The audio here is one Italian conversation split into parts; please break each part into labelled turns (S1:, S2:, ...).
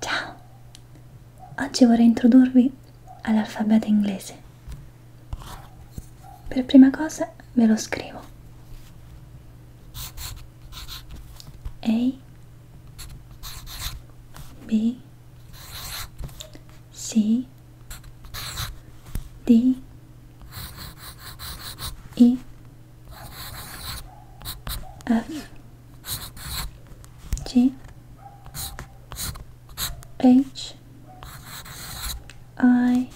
S1: Ciao! Oggi vorrei introdurvi all'alfabeto inglese. Per prima cosa ve lo scrivo. A B C D E F G H I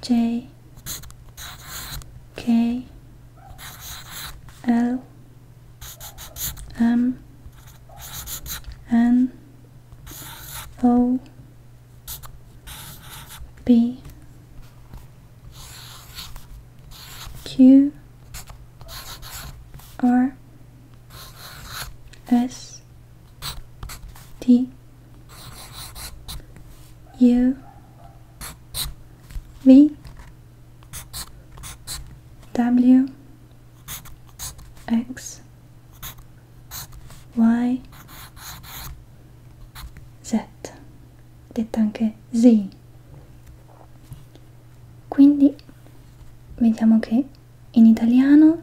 S1: J K L M N O B Q R S T U V W X Y, Z, detta anche Z. Quindi vediamo che in italiano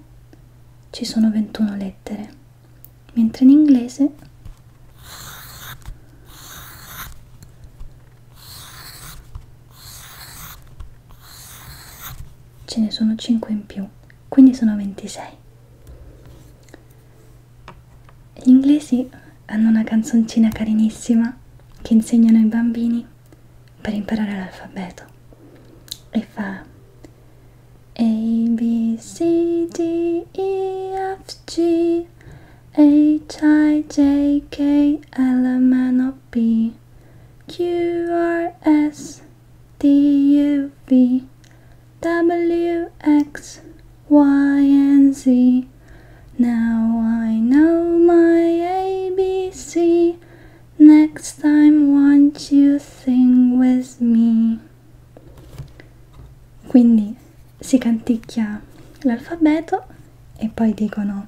S1: ci sono 21 lettere, mentre in inglese ce ne sono 5 in più, quindi sono 26. Gli inglesi hanno una canzoncina carinissima che insegnano ai bambini per imparare l'alfabeto e fa A B C D E F G H I J K L M N O P Q R S D U V W X Y and Z. Now I know my ABC. Next time won't you sing with me? Quindi si canticchia l'alfabeto e poi dicono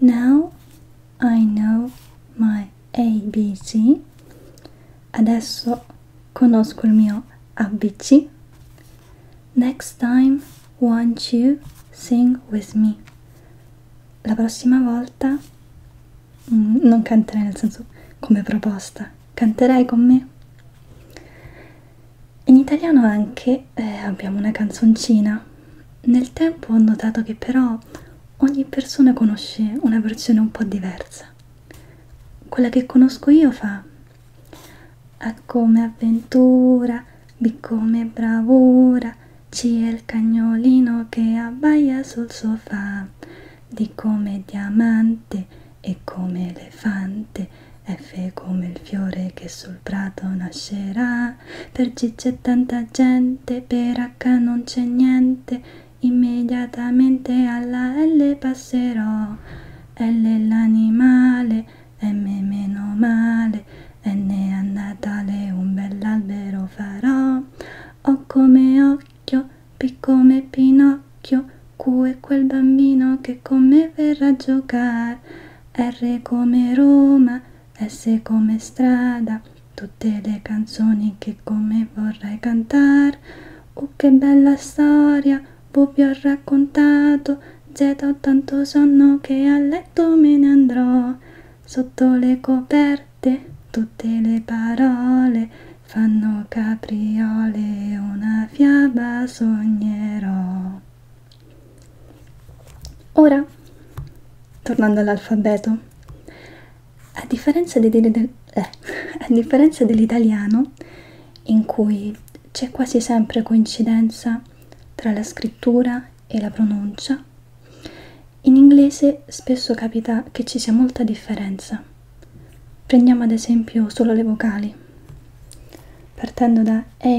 S1: Now I know my ABC. Adesso conosco il mio ABC. Next time won't you sing with me. La prossima volta mm, non canterai nel senso come proposta, canterai con me. In italiano anche eh, abbiamo una canzoncina. Nel tempo ho notato che però ogni persona conosce una versione un po' diversa. Quella che conosco io fa A come avventura, B come bravura, C è il cagnolino che abbaia sul sofà, D come diamante, E come elefante, F come il fiore che sul prato nascerà per G c'è tanta gente, per H non c'è niente, immediatamente alla L passerò. L l'animale, M meno male, N a Natale un bell'albero farò. O come occhio, P come Pinocchio, Q è quel bambino che con me verrà a giocare. R come Roma, S come strada, tutte le canzoni che come vorrai cantar. Oh che bella storia, V vi ho raccontato, Z ho tanto sonno che a letto me ne andrò. Sotto le coperte, tutte le parole fanno capriole, una fiaba sognerò. Ora, tornando all'alfabeto, a differenza, di, eh, a differenza dell'italiano, in cui c'è quasi sempre coincidenza tra la scrittura e la pronuncia, in inglese spesso capita che ci sia molta differenza. Prendiamo ad esempio solo le vocali, partendo da A,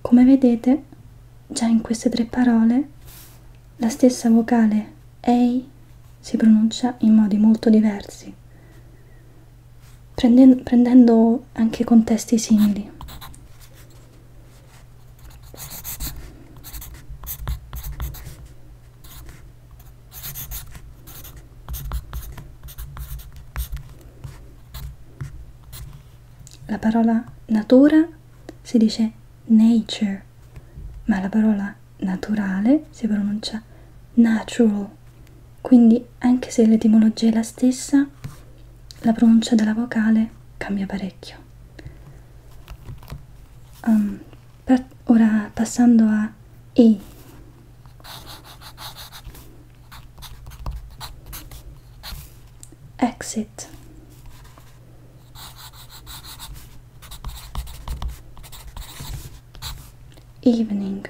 S1: Come vedete, già in queste tre parole la stessa vocale EI si pronuncia in modi molto diversi, prendendo, prendendo anche contesti simili. La parola natura si dice nature, ma la parola naturale si pronuncia natural. Quindi anche se l'etimologia è la stessa, la pronuncia della vocale cambia parecchio. Um, ora passando a E. Exit. Evening,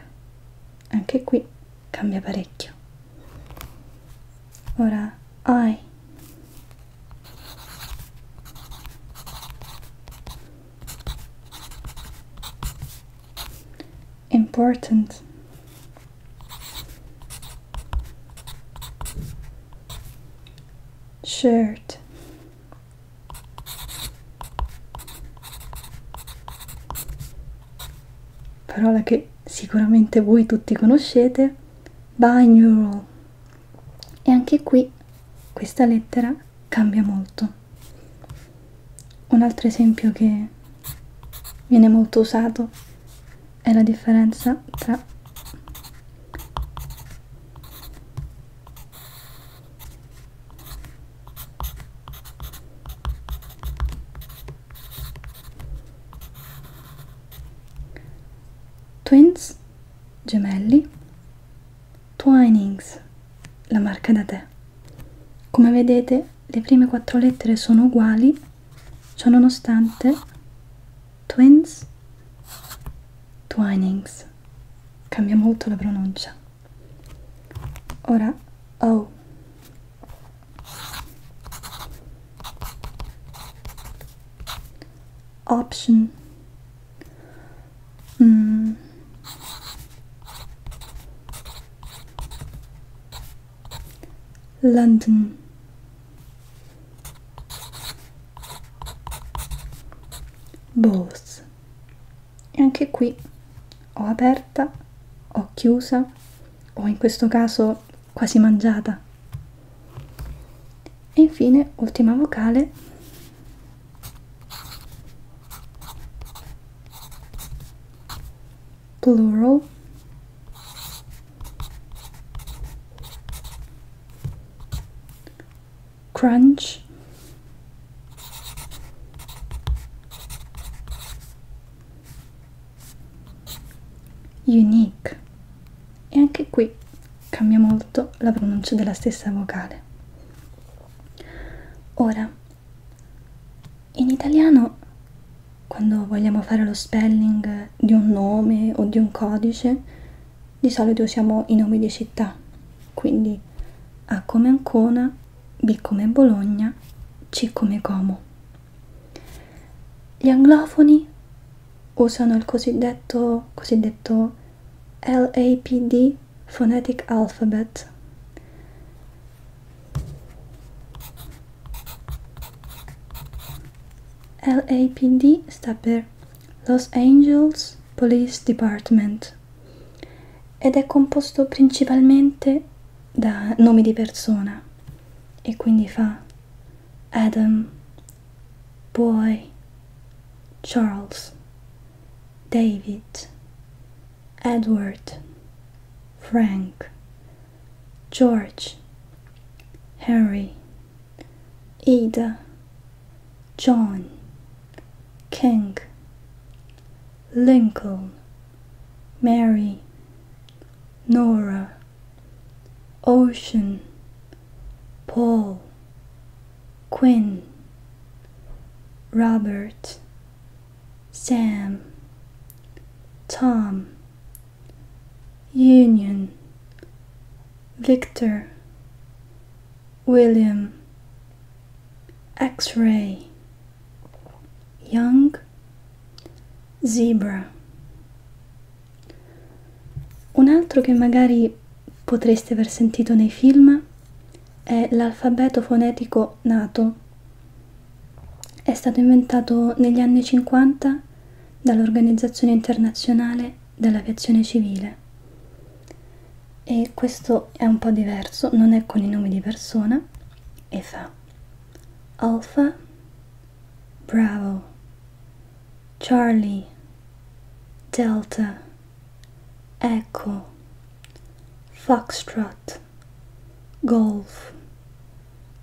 S1: anche qui cambia parecchio. Ora I. Important shirt parola che sicuramente voi tutti conoscete binaural e anche qui questa lettera cambia molto un altro esempio che viene molto usato è la differenza tra Twins, gemelli, Twinings, la marca da te. Come vedete le prime quattro lettere sono uguali, ciononostante Twins, Twinings, cambia molto la pronuncia. Ora O. Oh. Option. Mm. London. Bose e anche qui ho aperta, ho chiusa, ho in questo caso quasi mangiata. E infine, ultima vocale. Plural crunch unique e anche qui cambia molto la pronuncia della stessa vocale ora in italiano quando vogliamo fare lo spelling di un nome o di un codice, di solito usiamo i nomi di città, quindi A come Ancona, B come Bologna, C come Como. Gli anglofoni usano il cosiddetto, cosiddetto LAPD Phonetic Alphabet LAPD sta per Los Angeles Police Department ed è composto principalmente da nomi di persona e quindi fa Adam, Boy, Charles, David, Edward, Frank, George, Henry, Ida, John, King, Lincoln, Mary, Nora, Ocean, Paul, Quinn, Robert, Sam, Tom, Union, Victor, William, X ray, Young, Zebra. Un altro che magari potreste aver sentito nei film è l'alfabeto fonetico nato. È stato inventato negli anni 50 dall'Organizzazione Internazionale dell'Aviazione Civile. E questo è un po' diverso, non è con i nomi di persona e fa Alpha, Bravo, Charlie, Delta, Echo, Foxtrot, Golf,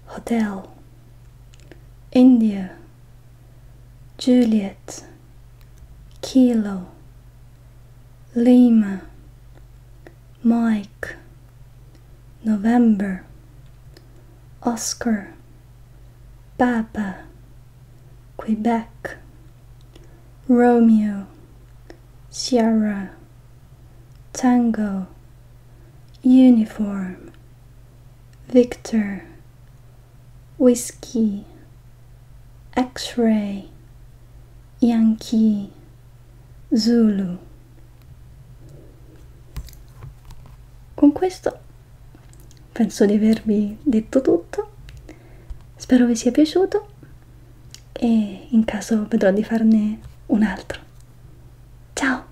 S1: Hotel. India, Juliet, Kilo, Lima, Mike, November, Oscar, Papa, Quebec, Romeo, Sierra, Tango, Uniform. Victor, Whiskey, X Ray, Yankee, Zulu. Con questo penso di avervi detto tutto. Spero vi sia piaciuto e in caso vedrò di farne un altro. Ciao!